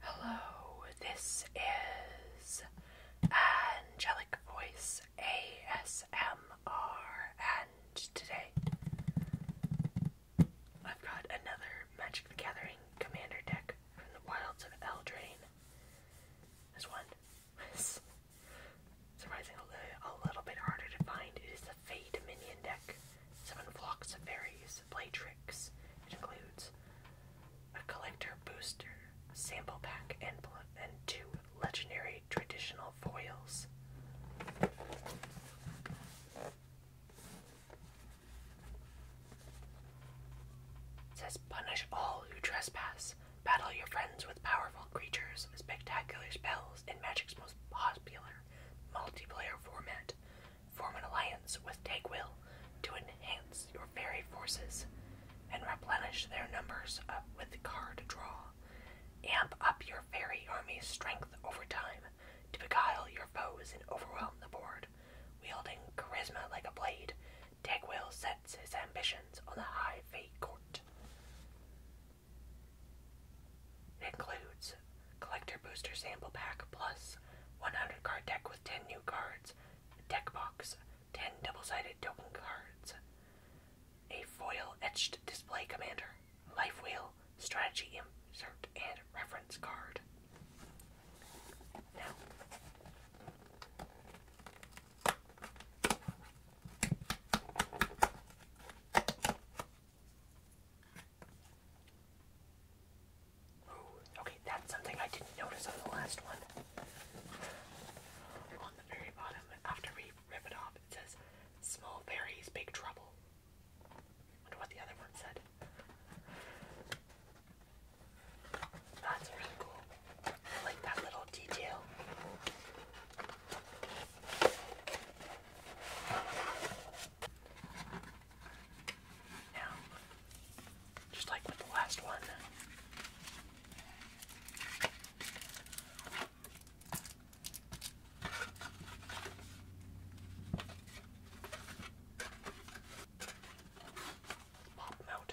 Hello, this is Angelic Voice ASMR, and today I've got another Magic the Gathering Commander deck from the Wilds of Eldraine. This one was a little bit harder to find. It is the Fey Dominion deck. Seven flocks of fairies play tricks. It includes a collector booster, sample pack, and, and two legendary traditional foils. says, Punish all who trespass. Battle your friends with powerful creatures, spectacular spells, and Magic's most popular multiplayer format. Form an alliance with Takewheel to enhance your fairy forces and replenish their numbers with card draw. Amp up your fairy army's strength over time to beguile your foes and overwhelm the board. Wielding charisma like a blade, Takewheel sets his ambitions on the high fate court includes collector booster sample pack plus 100 card deck with 10 new cards, deck box, 10 double-sided token cards, a foil etched display commander, life wheel, strategy insert, and reference card. Now, okay, that's something I didn't notice on the last one. On the very bottom, after we rip it off, it says small berries, big trouble. Wonder what the other one said. That's really cool. I like that little detail. Now, just like with the last one, pop them out.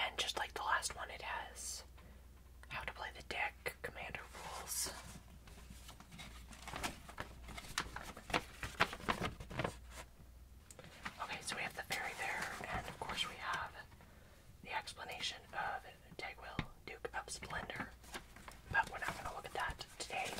And just like the last one, it has how to play the deck, commander rules. Okay, so we have the fairy there, and of course we have the explanation of Dagwill, Duke of Splendor. But we're not going to look at that today.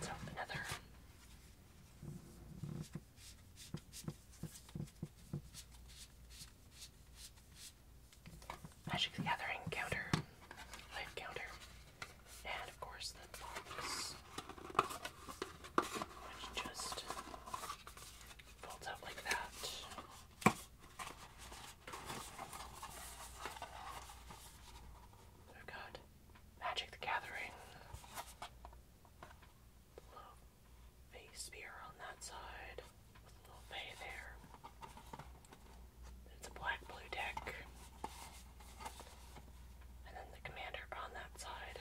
So another Magic the Gathering counter, life counter, and of course the box, which just folds out like that. We've got Magic the Gathering, face here on that side with a little bay there. It's a black blue deck. And then the commander on that side.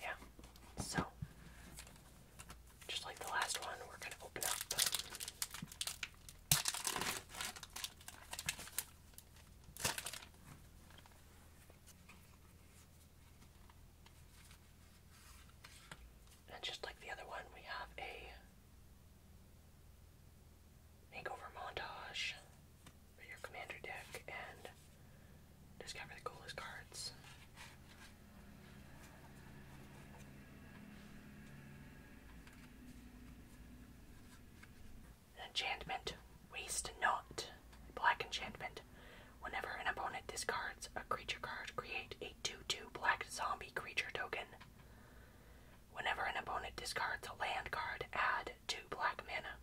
Yeah, so just like the last one, we're going to open up and just like the other one, we have a makeover montage for your commander deck and discover the coolest cards enchantment, waste not. Black enchantment. Whenever an opponent discards a creature card, create a 2 2 black zombie creature token. Whenever an opponent discards a land card, add 2 black mana.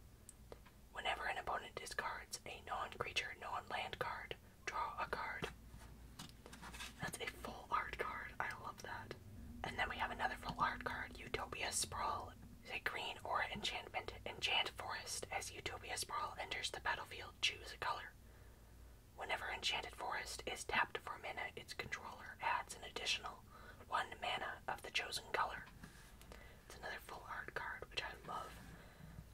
Whenever an opponent discards a non creature, non land card, draw a card. That's a full art card. I love that. And then we have another full Villard card, Utopia Sprawl. a green aura enchantment, enchant forest. As Utopia Sprawl enters the battlefield, choose a color. Whenever Enchanted Forest is tapped for mana, its controller adds an additional one mana of the chosen color. It's another full art card, which I love.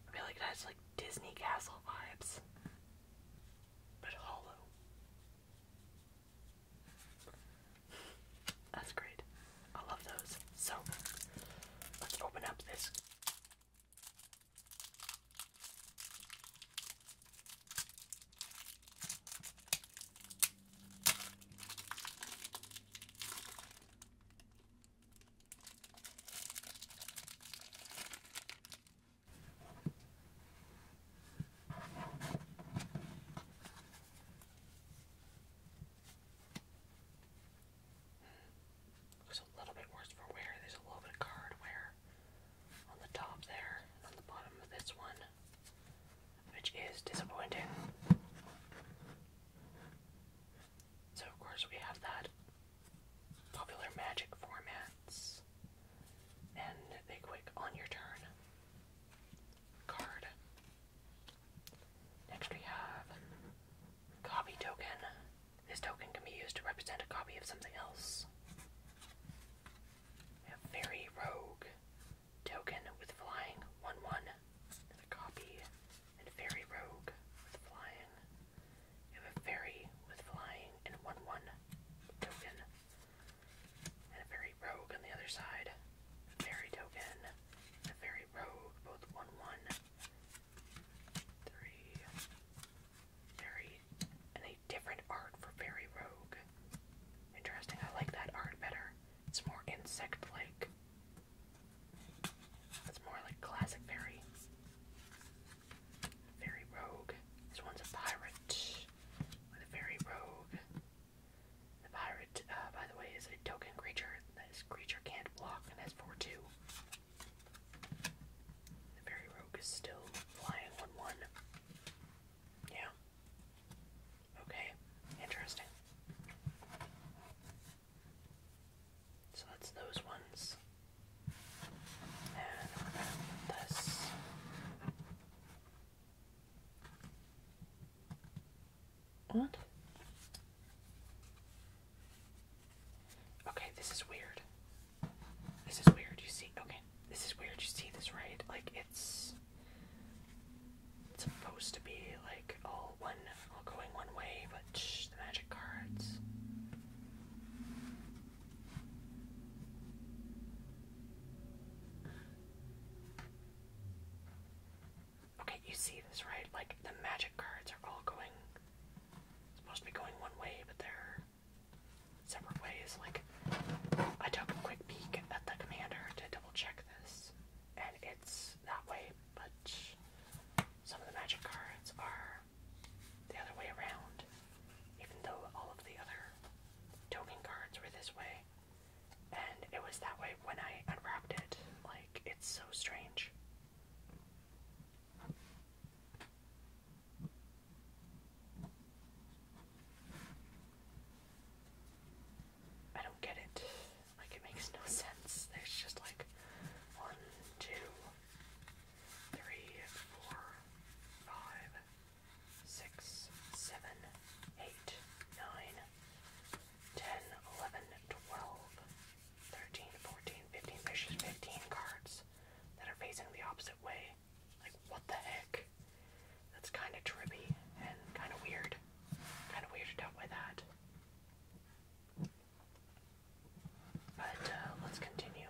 I feel like it has like Disney Castle vibes, but hollow. That's great. I love those. So let's open up this. Looks a little bit worse for wear. There's a little bit of card wear on the top there on the bottom of this one, which is disappointing. So, of course, we have that popular magic formats and they quick on your turn card. Next we have copy token. This token can be used to represent a copy of something else. We have Fairy Rogue token with flying 1 1. Another copy. And Fairy Rogue with flying. We have a Fairy with flying and 1 1 token a Fairy Rogue on the other side. Fairy Token, a Fairy Rogue, both 1-1. One, Fairy, and a different art for Fairy Rogue. Interesting, I like that art better. It's more insect-like. It's more like classic fairy. Fairy rogue. This one's a pirate with a fairy rogue. The pirate, uh, by the way, is a token creature. This creature can't block and has 4 2. The fairy rogue is still flying 1 1. Yeah. Okay, interesting. So that's those ones. And this what? Okay, this is weird. This is weird, you see. Okay, this is weird, you see this, right? Like, it's. supposed to be like all one, all going one way, but the magic cards. Okay, you see this, right? Like, the magic cards are all going. Supposed to be going one way, but they're separate ways. Like, I took a quick peek at the commander to double check this, and it's that way, but some of the magic cards are the other way around, even though all of the other token cards were this way. And it was that way when I unwrapped it. Like, it's so strange. I don't get it. Like, it makes no sense. There's just like one, two, three, four, five, six, seven, eight, nine, ten, eleven, twelve, thirteen, fourteen, fifteen. There's just fifteen cards that are facing the opposite way. Like what the heck? That's kinda trippy and kinda weird. Kinda weirded out by that. But uh, let's continue.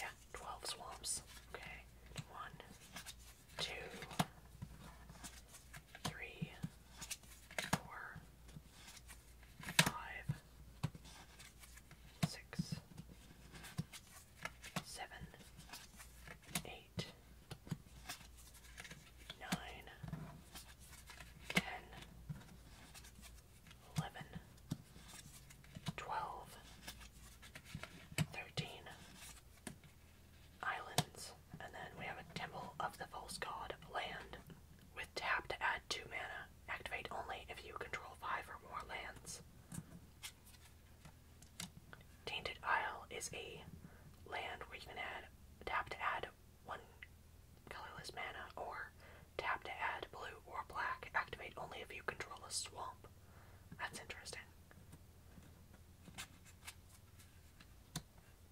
yeah, 12 swamps. Okay. One, two, three, four, five, six, seven, eight, nine, ten, eleven, twelve. 13 islands, and then we have a Temple of the False God land with tap to add 2 mana. Activate only if you control 5 or more lands. Tainted Isle is a land where you can add tap to add one colorless mana or tap to add blue or black. Activate only if you control a swamp. That's interesting.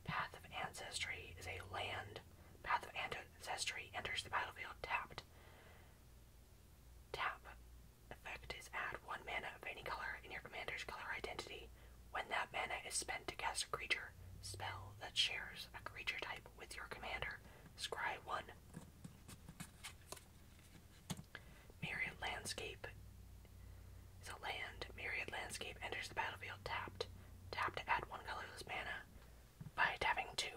Path of Ancestry is a land. Path of Ancestry enters the battlefield tapped. Tap. Effect is add one mana of any color in your commander's color identity. When that mana is spent to cast a creature spell that shares a creature type with your commander, scry one. Myriad Landscape is a land. Myriad Landscape enters the battlefield tapped. tapped to add one colorless mana. By tapping two,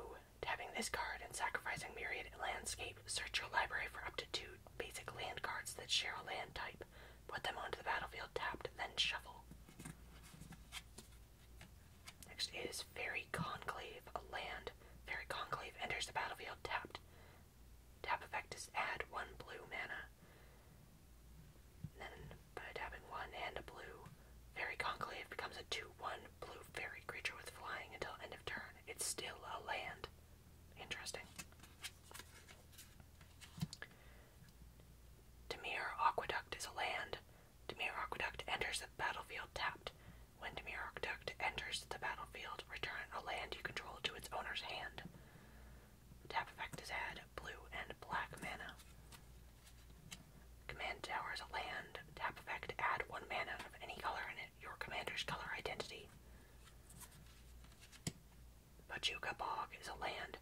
tapping this card and sacrificing Myriad Landscape, search your library for up to two basic land cards that share a land type. Put them onto the battlefield tapped, then shuffle. Next is Fairy Conclave, a land. Fairy Conclave enters the battlefield tapped. Tap effect is add one blue mana. And then by tapping one and a blue, Fairy Conclave becomes a 2 1 blue fairy creature with flying until end of turn. It's still a land. Interesting. Demir Aqueduct is a land. Demir Aqueduct enters the battlefield tapped. When Demir Aqueduct enters the battlefield, return a land you control to its owner's hand. Tap effect is add blue and black mana. Command Tower is a land. Tap effect, add one mana of any color in it, your commander's color identity. Pachuca Bog is a land.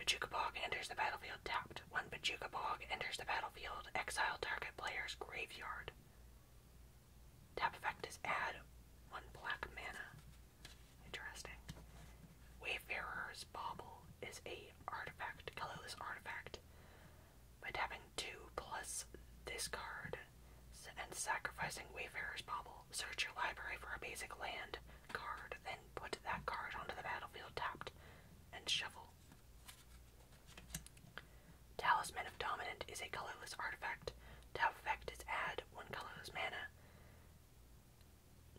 Pachuca Bog enters the battlefield tapped. When Pachuca Bog enters the battlefield, exile target player's graveyard. Tap effect is add one black mana. Interesting. Wayfarer's Bauble is a artifact, colorless artifact. By tapping two plus discard and sacrificing Wayfarer's Bauble, search your library for a basic land card, then put that card onto the battlefield tapped and shuffle Talisman of Dominant is a colorless artifact. Tap effect is add one colorless mana.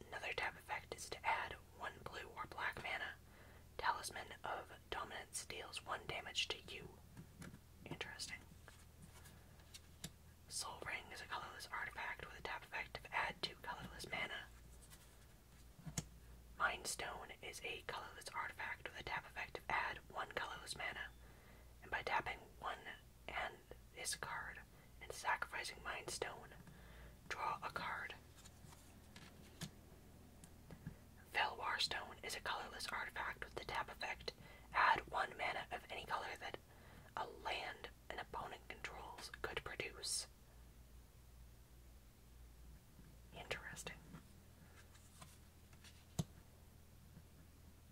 Another tap effect is to add one blue or black mana. Talisman of Dominance deals one damage to you. Interesting. Soul Ring is a colorless artifact with a tap effect of add two colorless mana. Mind Stone is a colorless artifact with a tap effect to add one colorless mana, and by tapping one and this card and sacrificing Mind Stone, draw a card. Velwar Stone is a colorless artifact with the tap effect. Add one mana of any color that a land an opponent controls could produce. Interesting.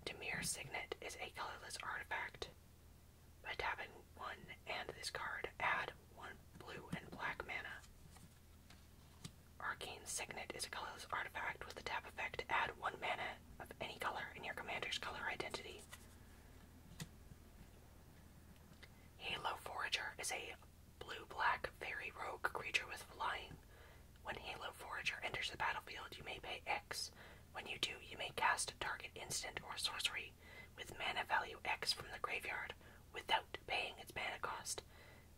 Demir's Signet is a colorless artifact. By tapping one and this card, add one blue and black mana. Arcane Signet is a colorless artifact with the tap effect, add one mana of any color in your commander's color identity. Halo Forager is a blue black fairy rogue creature with flying. When Halo Forager enters the battlefield, you may pay X. When you do, you may cast a target instant or sorcery with mana value X from the graveyard without paying its mana cost.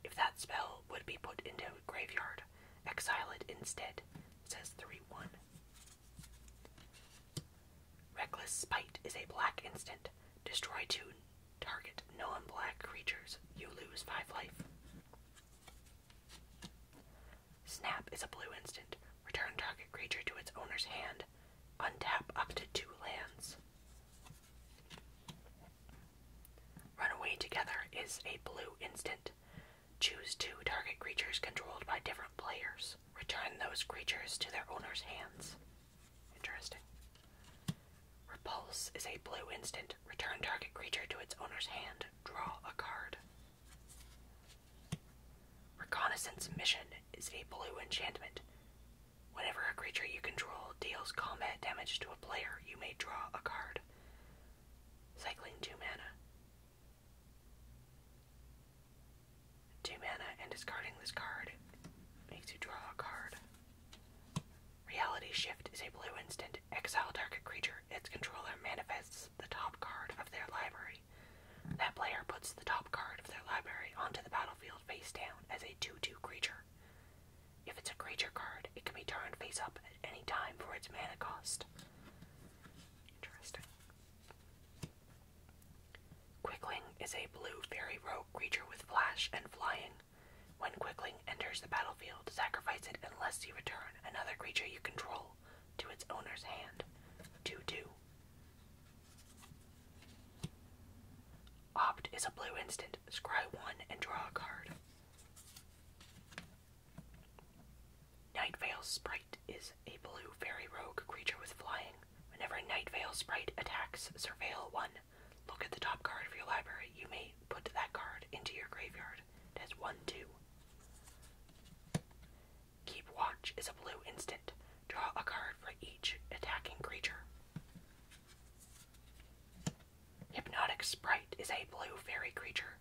If that spell would be put into graveyard, exile it instead, says 3 1. Reckless Spite is a black instant. Destroy two Target non black creatures. You lose 5 life. Snap is a blue instant. Return target creature to its owner's hand. Untap up to 2 lands. Runaway Together is a blue instant. Choose two target creatures controlled by different players. Return those creatures to their owner's hands. Interesting. Repulse is a blue instant. Return target creature to its owner's hand. Draw a card. Reconnaissance Mission is a blue enchantment. Whenever a creature you control deals combat damage to a player, you may draw a card. Cycling 2 mana. 2 mana and discarding this card makes you draw a card. Reality Shift is a blue instant. Exile target creature. Its controller manifests the top card of their library. That player puts the top card of their library onto the battlefield face down as a 2 2 creature. If it's a creature card, it can be turned face up at any time for its mana cost. Interesting. Quickling is a blue fairy rogue creature with flash and flying. When Quickling enters the battlefield, sacrifice it unless you return another creature you control to its owner's hand. 2 2. Opt is a blue instant. Scry 1 and draw a card. Night Sprite is a blue fairy rogue creature with flying. Whenever Night Sprite attacks, surveil 1 Look at the top card of your library. You may put that card into your graveyard. It 1 2. Keep Watch is a blue instant. Draw a card for each attacking creature. Hypnotic Sprite is a blue fairy creature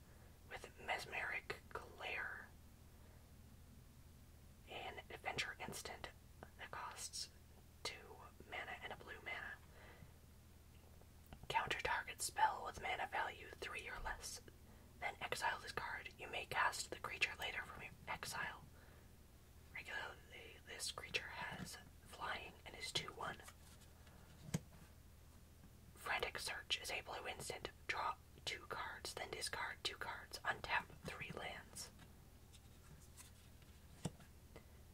with mesmeric glare. An adventure instant that costs two mana and a blue mana. Counter target spell with mana value three or less. Then exile this card. You may cast the creature later from your exile. Regularly, this creature has flying and is 2 1. Frantic Search is a blue instant. Draw two cards, then discard two cards. Untap three lands.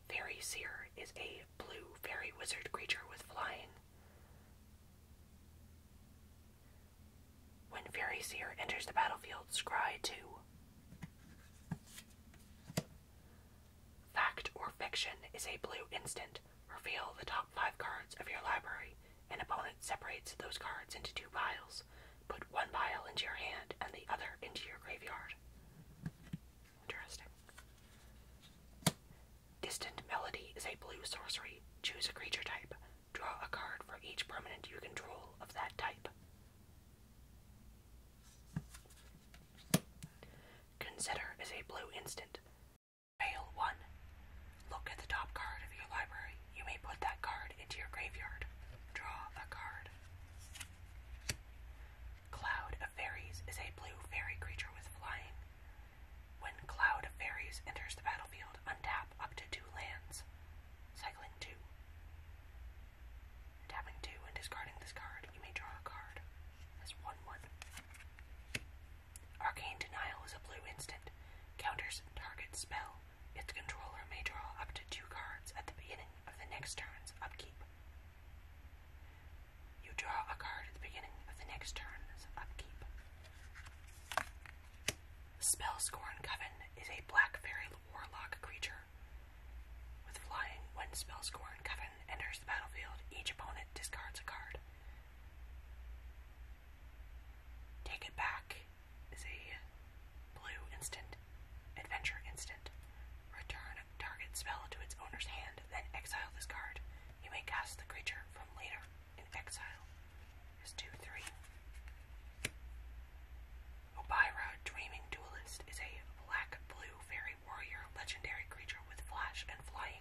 Fairy Seer is a blue fairy wizard creature with flying. When Fairy Seer enters the battlefield, scry 2. Fact or Fiction is a blue instant. Reveal the top 5 cards of your library. An opponent separates those cards into two piles. Put one pile into your hand and the other into your graveyard. Interesting. Distant Melody is a blue sorcery. Choose a creature type. Draw a card for each permanent you control of that type. Consider is a blue instant. Fail 1. Look at the top card of your library. You may put that card into your graveyard. Draw a card. Cloud of Fairies is a blue fairy creature with flying. When Cloud of Fairies enters the battlefield, untap up to two lands. Cycling two. Tapping two and discarding this card, you may draw a card. That's one one. Arcane Denial is a blue instant. Counters target spell. Its controller may draw up to two cards at the beginning of the next turn's upkeep. You draw a card at the beginning of the next turn as upkeep. Spellscorn Coven is a black fairy warlock creature. With flying, when Spellscorn Coven enters the battlefield, each opponent discards a card. Take It Back is a blue instant Adventure instant. Return a target spell to its owner's hand, then exile this card. You may cast the creature from later in exile. Is 2 3. Obira, Dreaming Duelist, is a black blue fairy warrior legendary creature with flash and flying.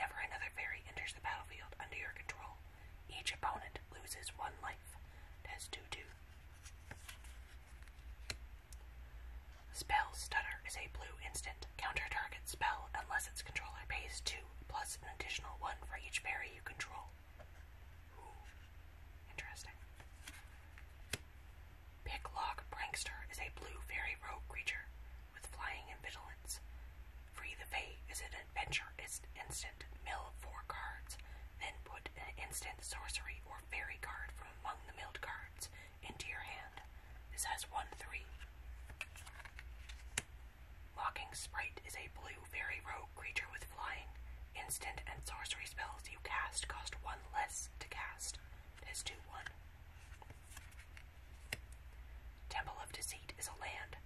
Never another fairy enters the battlefield under your control. Each opponent loses one life. It has 2 2. Spell Stunner is a blue instant counter target spell unless its controller pays two plus an additional one for each fairy you control. Ooh, interesting. Picklock Prankster is a blue fairy rogue creature with flying and vigilance. Free the Fae is an adventure instant. Mill four cards, then put an instant sorcery or fairy card from among the milled cards into your hand. This has 1 3. Mocking Sprite is a blue fairy rogue creature with flying. Instant and sorcery spells you cast cost 1 less to cast. It 2 1. Temple of Deceit is a land.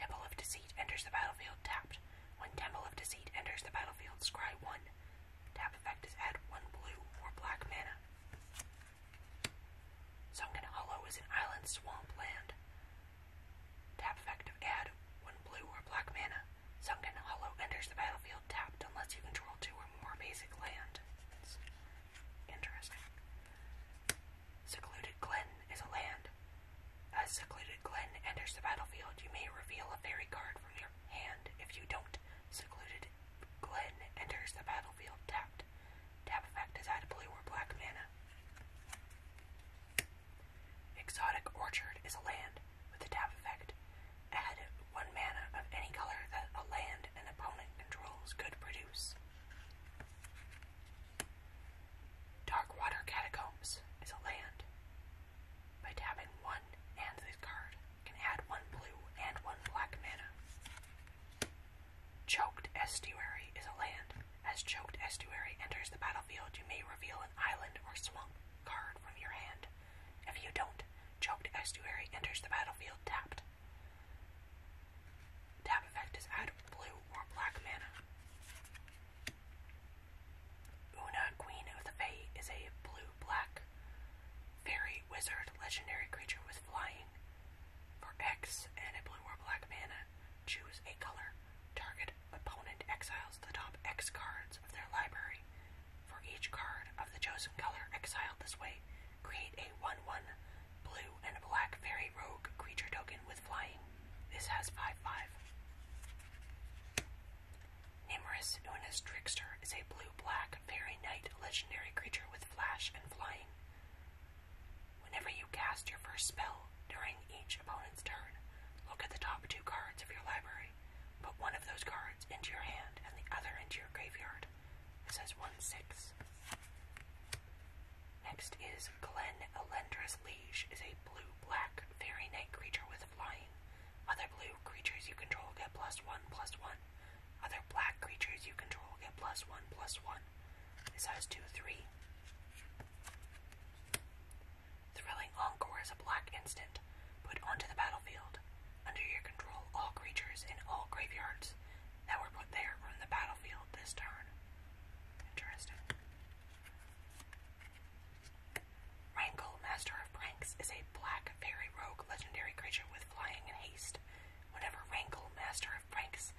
Temple of Deceit enters the battlefield tapped. When Temple of Deceit enters the battlefield, scry 1. Tap effect is add one blue or black mana. Sunken Hollow is an island swamp land. Tap effect add one blue or black mana. Sunken Hollow enters the battlefield tapped unless you control two or more basic land. interesting. Secluded Glen is a land. As Secluded Glen enters the battlefield, you may reveal a fairy card from your hand. If you don't, secluded glen enters the battlefield tapped. Tap effect is out blue or black mana. Exotic Orchard is a land with a tap effect. Add one mana of any color that a land an opponent controls could produce. Darkwater Catacombs is a land by tapping one and this card, can add one blue and one black mana. Choked Estuary is a land. As Choked Estuary enters the battlefield, you may reveal an island or swamp card from your hand. If you don't, Choked Estuary enters the battlefield tapped. Tap effect is add blue or black mana. Una, Queen of the Fae, is a blue-black fairy wizard legendary creature with flying. For X and a blue or black mana, choose a color. Target opponent exiles the top X cards of their library. For each card of the chosen color exiled this way, create a 1 1 blue and black fairy rogue creature token with flying. This has 5 5. Nimrus, known as Trickster, is a blue-black fairy knight legendary creature with flash and flying. Whenever you cast your first spell during each opponent's turn, look at the top two cards of your library. Put one of those cards into your hand and the other into your graveyard. This is 1-6. Next is Glen Elendra's Liege is a blue-black fairy knight creature with flying. Other blue creatures you control get plus one plus one. Other black creatures you control get plus one plus one. This has two three. Thrilling Encore is a black instant. Put onto the battlefield. Under your control, all creatures in all graveyards that were put there from the battlefield this turn. Interesting. Rankle, Master of Pranks, is a black fairy rogue legendary creature with flying and haste. Whenever Rankle, Master of Pranks,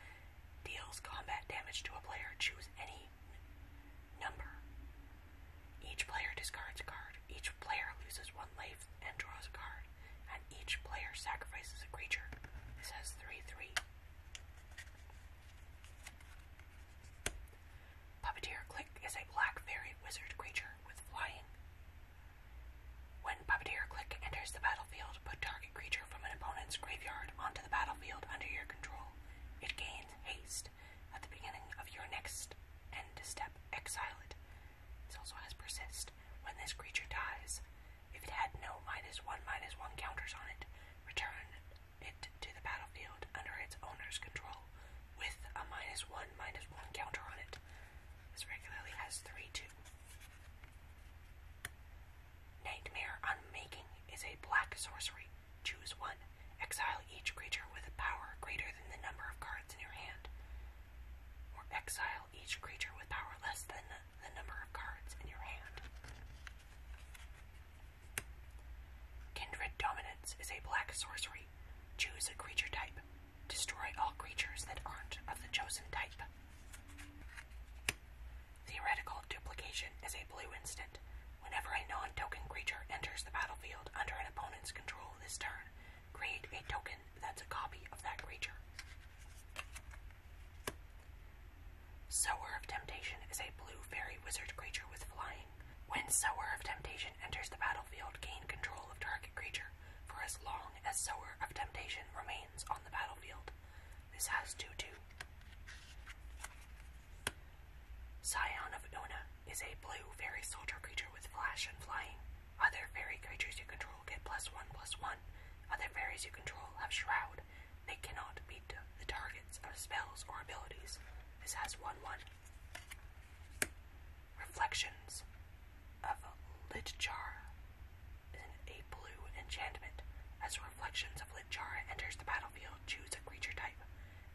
deals combat damage to a player, choose any number. Each player discards a card, each player loses one life and draws a card, and each player sacrifices a creature. This has 3 3. Puppeteer Click is a black fairy wizard creature with flying. When Puppeteer Click enters the battlefield, put target creature from an opponent's graveyard onto the battlefield under your control. It gains haste at the beginning of your next end step. Exile it. This also has persist. When this creature dies, if it had no minus one minus one counters on it, return it to the battlefield under its owner's control with a minus one, minus one counter on it. This regularly has three, two. Nightmare Unmaking is a black sorcery. Choose one. Exile each creature with a power greater than the number of cards in your hand. Or exile each creature with power less than the number of cards in your hand. Kindred Dominance is a black sorcery. Choose a creature type. Destroy all creatures that aren't of the chosen type. Theoretical duplication is a blue instant. Whenever a non token creature enters the battlefield under an opponent's control this turn, create a token that's a copy of that creature. Sower of Temptation is a blue fairy wizard creature with flying. When Sower of Temptation enters the battlefield, gain control of target creature for as long as Sower of Temptation remains on the battlefield. This has 2 2. Scion of Una is a blue fairy soldier creature with flash and flying. Other fairy creatures you control get plus 1 plus 1. Other fairies you control have Shroud. They cannot be the targets of spells or abilities. This has 1 1. Reflections of Lidjara in a blue enchantment. As reflections of Litjar enters the battlefield, choose a creature type.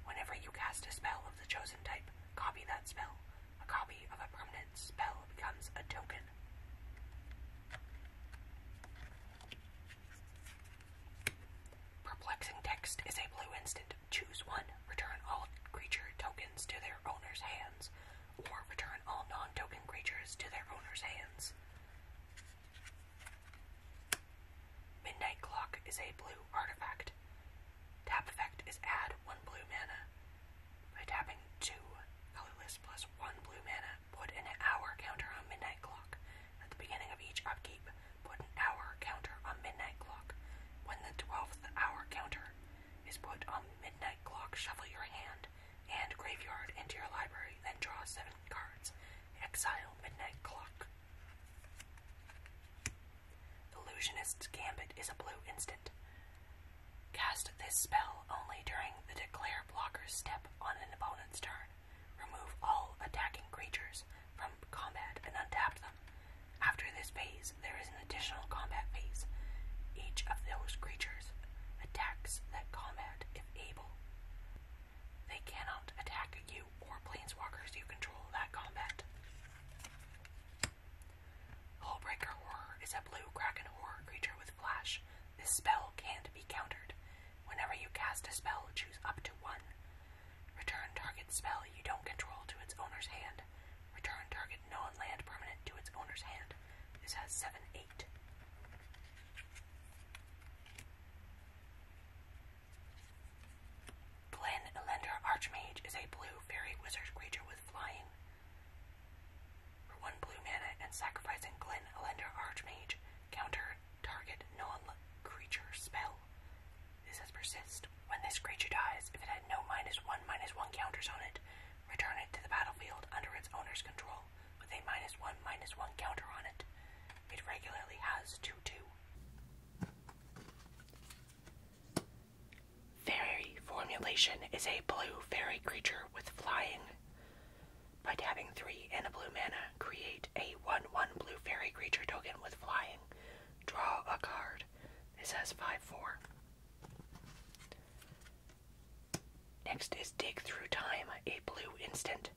Whenever you cast a spell of the chosen type, copy that spell. A copy of a permanent spell becomes a token. Perplexing Text is a blue instant choose one, return all creature tokens to their owner's hands, or return all non token creatures to their owner's hands. Midnight Clock is a blue artifact. Tap effect is add one blue mana. By tapping two colorless plus one blue mana, put an hour counter on Midnight Clock. At the beginning of each upkeep, put an hour counter on Midnight Clock. When the twelfth hour counter is put on midnight clock, shuffle your hand and graveyard into your library, then draw seven cards. Exile midnight clock. Illusionist's Gambit is a blue instant. Cast this spell only during the declare blocker's step on an opponent's turn. Remove all attacking creatures from combat and untap them. After this phase, there is an additional combat phase. Each of those creatures attacks that combat if able. They cannot attack you or planeswalkers you control that combat. Hullbreaker Horror is a blue Kraken horror creature with flash. This spell can't be countered. Whenever you cast a spell, choose up to one Return target spell you don't control to its owner's hand. Return target non land permanent to its owner's hand. This has 7 8. Glen Elendor Archmage is a blue fairy wizard creature with flying. For one blue mana and sacrificing Glen Elendor Archmage, counter target non creature spell. This has persist. When this creature dies, if it had no minus one minus one counters on it, return it to the battlefield under its owner's control with a minus one minus one counter on it. It regularly has two two. Fairy formulation is a blue fairy creature with flying. By tapping three and a blue mana, create a one one blue fairy creature token with flying. Draw a card. This has 5 4. Next is Dig Through Time, a blue instant.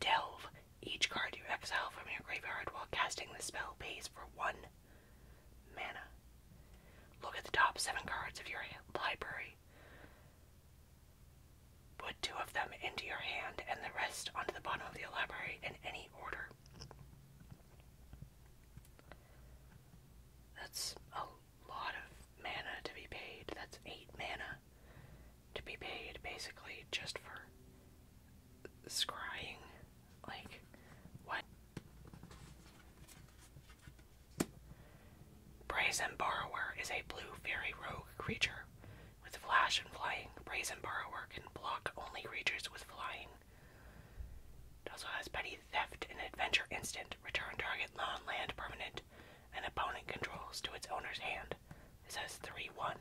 Delve. Each card you exile from your graveyard while casting the spell pays for 1 mana. Look at the top 7 cards of your library. Put two of them into your hand and the rest onto the bottom of the library in any order. That's a lot of mana to be paid. That's 8 mana to be paid basically just for scrying. Like, what? Brazen Borrower is a blue fairy rogue creature with flash and flying. Brazen Borrower can block only creatures with flying. It also has petty theft and adventure instant, return target lawn land permanent, and opponent controls to its owner's hand. It has 3 1.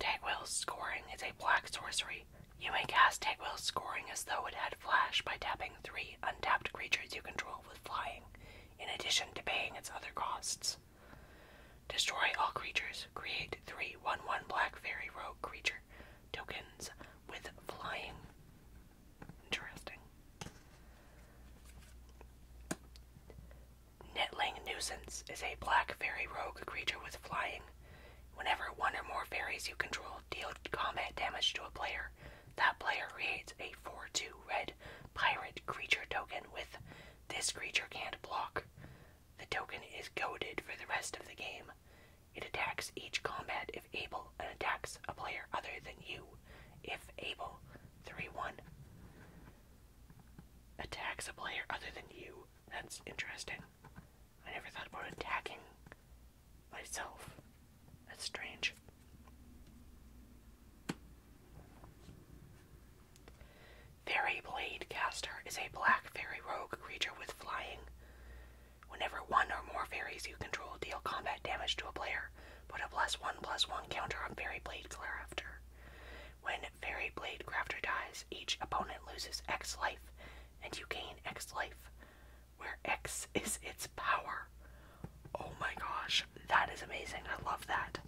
Tagwell scoring is a black sorcery. You may cast Tagwell scoring as though it had flash by tapping three untapped creatures you control with flying, in addition to paying its other costs. Destroy all creatures. Create three 1 1 Black Fairy Rogue creature tokens with flying. Interesting. Netling Nuisance is a black fairy rogue creature with flying. Whenever one or more fairies you control deal combat damage to a player, that player creates a 4 2 red pirate creature token with this creature can't block. The token is goaded for the rest of the game. It attacks each combat if able and attacks a player other than you if able. 3 1. Attacks a player other than you. That's interesting. I never thought about attacking myself. That's strange. Fairy Blade Caster is a black fairy rogue creature with flying. Whenever one or more fairies you control deal combat damage to a player, put a plus one plus one counter on Fairy Blade Crafter. When Fairy Blade Crafter dies, each opponent loses X life and you gain X life, where X is its power. Oh my gosh, that is amazing. I love that.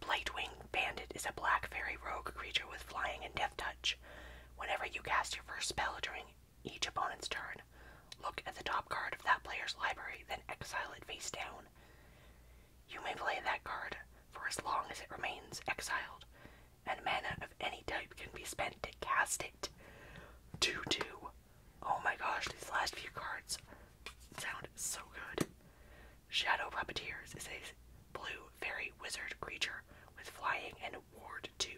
Blightwing Bandit is a black fairy rogue creature with flying and death touch. Whenever you cast your first spell during each opponent's turn, look at the top card of that player's library, then exile it face down. You may play that card for as long as it remains exiled, and mana of any type can be spent to cast it. 2 2. Oh my gosh, these last few cards sound so good. Shadow Puppeteers is a blue fairy wizard creature with flying and ward 2.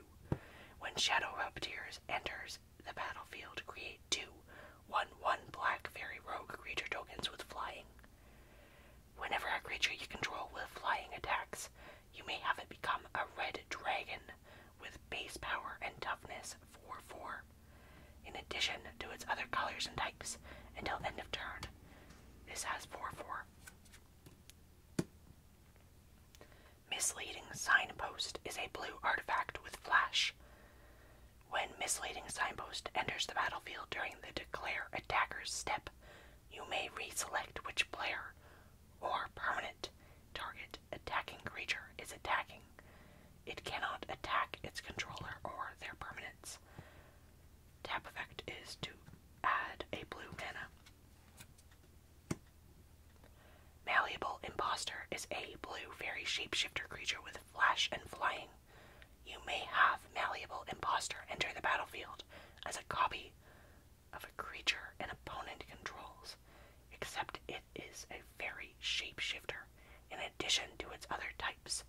When Shadow Puppeteers enters the battlefield, create two 1 1 black fairy rogue creature tokens with flying. Whenever a creature you control with flying attacks, you may have it become a red dragon with base power and toughness 4-4, in addition to its other colors and types, until end of turn. This has 4-4. Misleading Signpost is a blue artifact with flash. When Misleading Signpost enters the battlefield during the Declare Attacker's step, you may reselect which player or permanent target attacking creature is attacking. It cannot attack its controller or their permanents. Tap effect is to add a blue mana. Malleable Imposter is a blue fairy shapeshifter creature with flash and flying. You may have Malleable Imposter enter the battlefield as a copy of a creature an opponent controls, except it is a fairy shapeshifter in addition to its other types,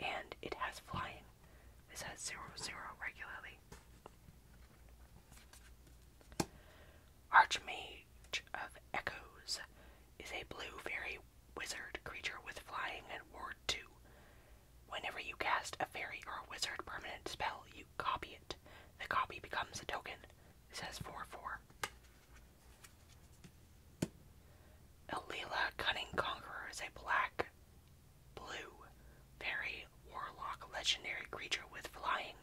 and it has flying. This has zero zero regularly. Archmage of Echoes is a blue fairy wizard creature with flying and ward 2. Whenever you cast a fairy or wizard permanent spell, you copy it. The copy becomes a token. This has 4 4. Alila Cunning Conqueror is a black, blue, fairy, warlock, legendary creature with flying.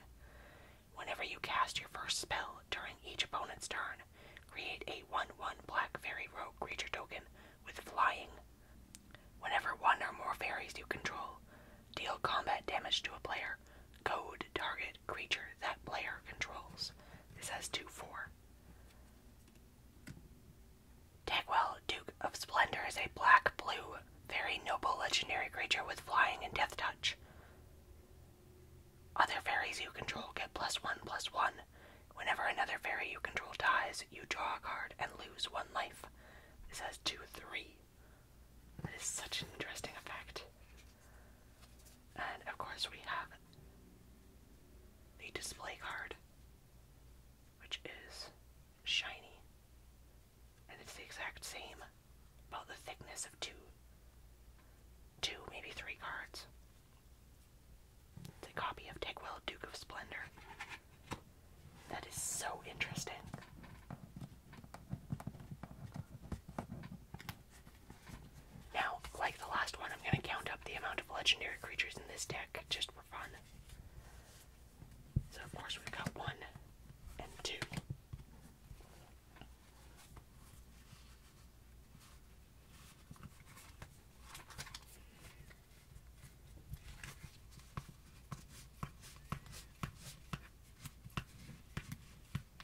Whenever you cast your first spell during each opponent's turn, create a 1 1 black fairy rogue creature token with flying. Whenever one or more fairies you control, deal combat damage to a player Code target creature that player controls. This has 2 4. Tagwell, Duke of Splendor, is a black blue, very noble legendary creature with flying and death touch. Other fairies you control get plus 1 plus 1. Whenever another fairy you control dies, you draw a card and lose 1 life. This has 2 3. That is such an interesting effect. And of course, we have the display card, which is shiny, and it's the exact same, about the thickness of two, two maybe three cards. It's a copy of Tegwell, Duke of Splendor. That is so interesting. Now, like the last one, I'm going to count up the amount of legendary creatures in this deck just for fun. So, of course, we got one and two.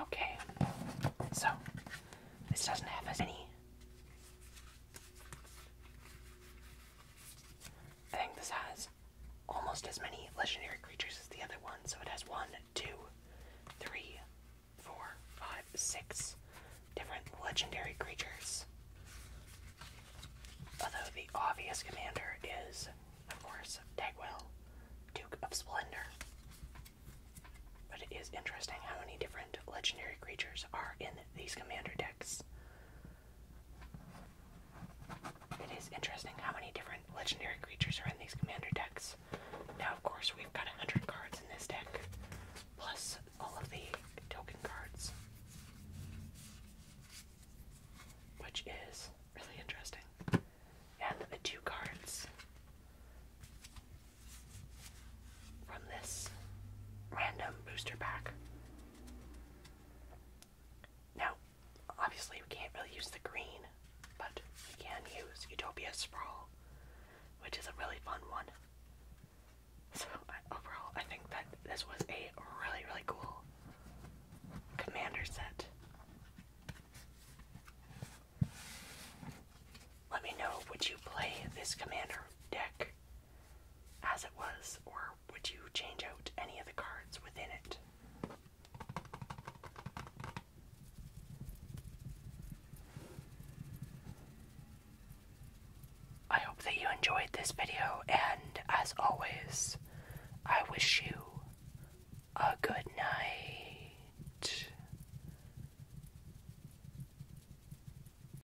Okay, so this doesn't have any I think this has almost as many legendary creatures as the other one, so it has one, two, three, four, five, six different legendary creatures. Although the obvious commander is, of course, Dagwell, Duke of Splendor. But it is interesting how many different legendary creatures are in these commander decks. It is interesting how many different legendary creatures are in these commander decks. Now, of course, we've got a 100 cards in this deck, plus all of the token cards, which is really interesting. And the two cards from this random booster pack. Now, obviously, we can't really use the green, but we can use Utopia Sprawl, which is a really fun one. So, overall, I think that this was a really, really cool commander set. Let me know, would you play this commander deck? as it was, or would you change out any of the cards within it? I hope that you enjoyed this video, and as always, I wish you a good night.